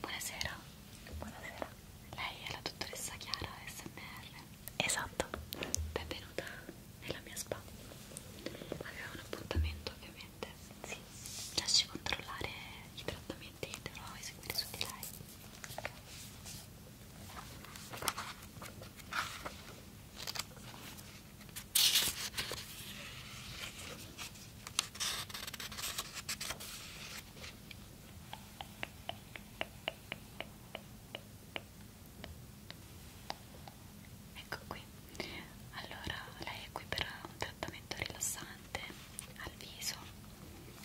Buonasera. Buonasera. Lei è la dottoressa Chiara SMR. Esatto. Benvenuta nella mia spa. Avevo un appuntamento ovviamente assolutamente sì. Lasci controllare i trattamenti che dovrò eseguire su di lei ecco qui allora lei è qui per un trattamento rilassante al viso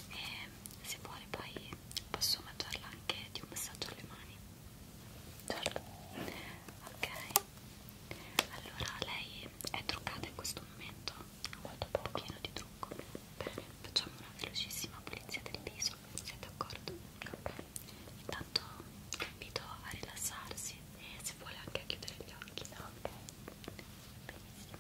e se vuole poi posso mangiarla anche di un massaggio alle mani certo ok allora lei è truccata in questo momento molto poco pieno di trucco bene facciamo una velocissima pulizia del viso siete d'accordo? ok intanto invito a rilassarsi e se vuole anche a chiudere gli occhi ok benissimo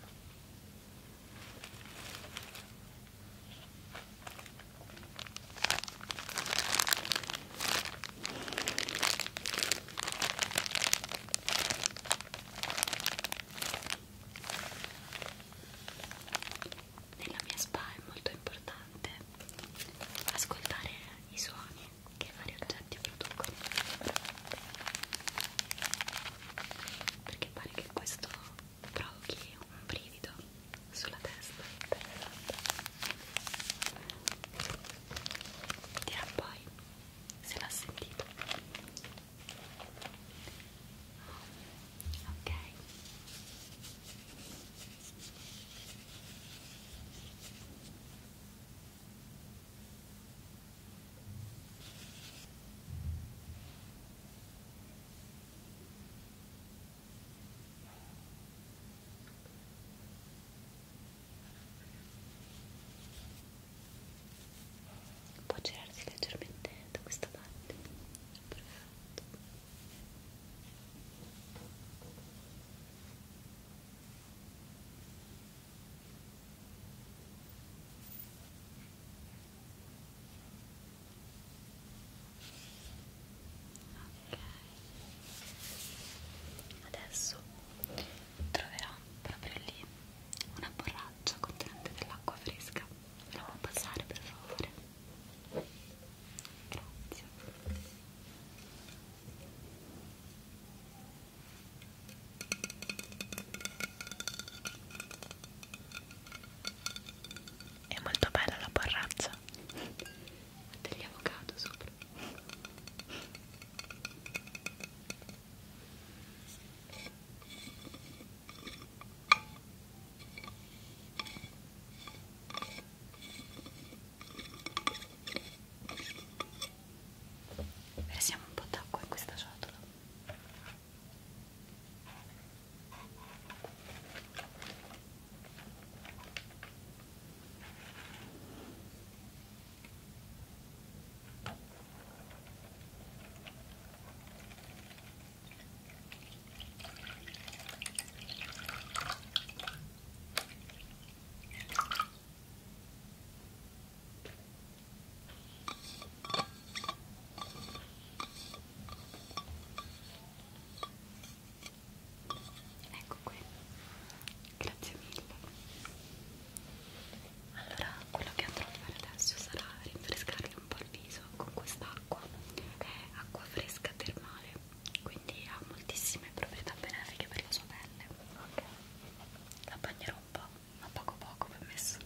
nella mia spa è molto importante ascoltare i suoni che vari oggetti producono perché pare che questo provochi un brivido sulla testa dirà poi se l'ha sentito ok può girarsi leggermente da questa parte perfetto Adesso troverò proprio lì una borraccia contenente dell'acqua fresca. Me la può passare per favore? Grazie. È molto bella la borrazza degli avocado sopra. Versiamo un po' d'acqua in questa ciotola. Ecco qui, grazie mille. Allora, quello che andrò a fare adesso sarà rinfrescarlo un po' il viso con quest'acqua che è acqua fresca termale quindi ha moltissime proprietà benefiche per la sua pelle ok la bagnerò un po' ma poco poco permesso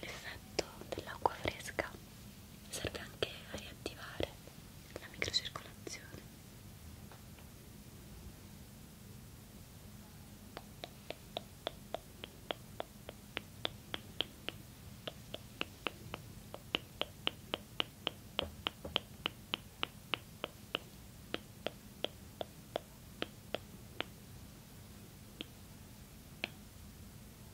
l'effetto dell'acqua fresca serve anche a riattivare la microcircolazione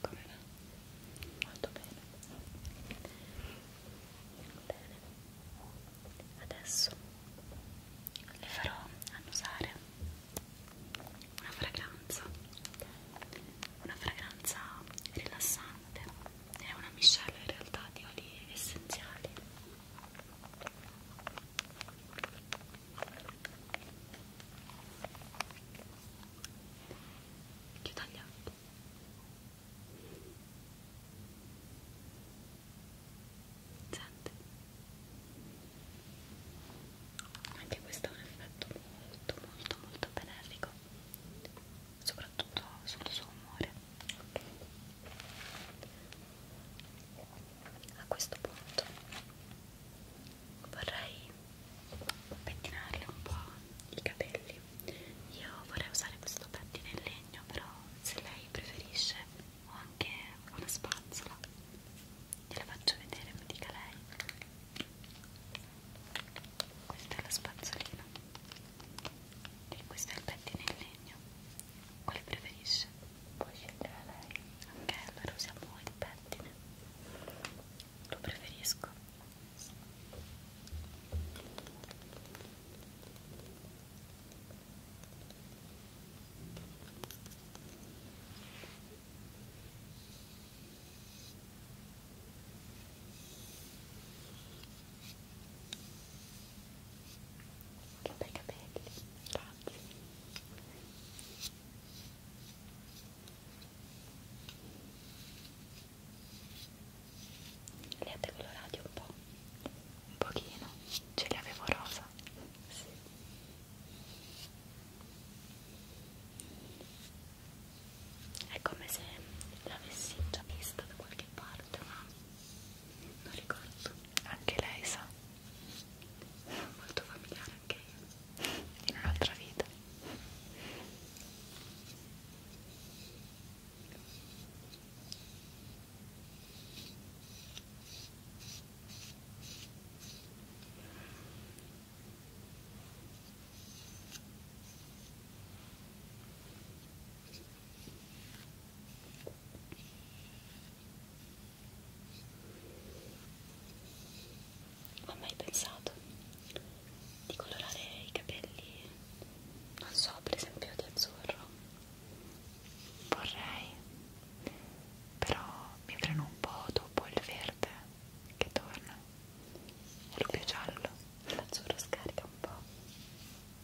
Come va? Molto bene. Bene. Adesso le farò annusare una fragranza. Una fragranza rilassante. È una miscela in realtà di oli essenziali chiuda gli occhi senti anche questo è un effetto molto molto molto benefico soprattutto sul suo umore a questo punto vorrei pettinarle un po' i capelli io vorrei usare questo pettine in legno però se lei preferisce ho anche una spazzola gliela faccio vedere mi dica lei questa è la spazzolina e questo è il pettine in legno quale preferisce? puoi scegliere lei ok allora usiamo il pettine lo preferisco ok che bei capelli, grazie. Li avete colorati un po'? Un pochino, ce li avevo rosa. Sì. È come se l'avessi già vista da qualche parte, ma non ricordo anche lei sa molto familiare anche io in un'altra vita ho mai pensato di colorare i capelli, non so, per esempio di azzurro. Vorrei, però mi freno un po' dopo il verde che torna, quello più giallo. L'azzurro scarica un po'.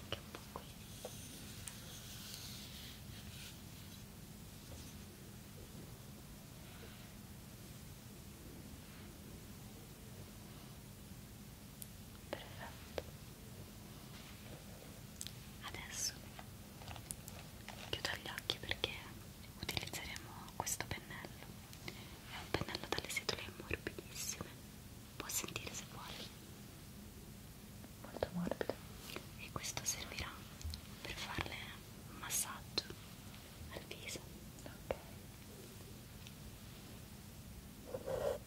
anche un po' qui perfetto adesso chiudo gli occhi perché utilizzeremo questo pennello è un pennello dalle setole morbidissime può sentire se vuole molto morbido e questo servirà per farle un massaggio al viso ok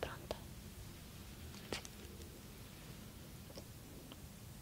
Pronto? Sì.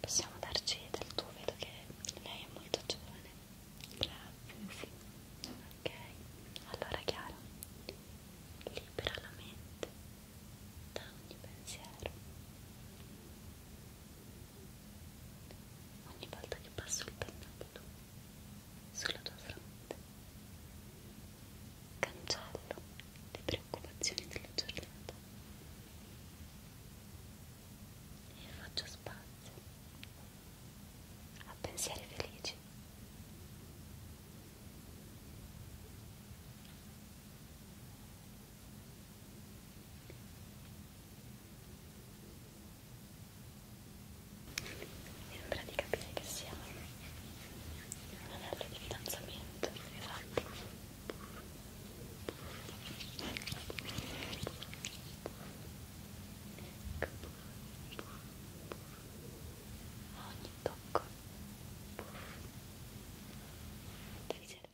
Possiamo darci del tuo, vedo che lei è molto giovane. Bravo, sì. Ok, allora Chiara, libera la mente da ogni pensiero ogni volta che passo il pennello sulla tua fronte cancello le preoccupazioni della giornata e faccio spazio a pensieri felici Sembra di capire che sia un anello di fidanzamento, esatto. A ogni tocco devi servire.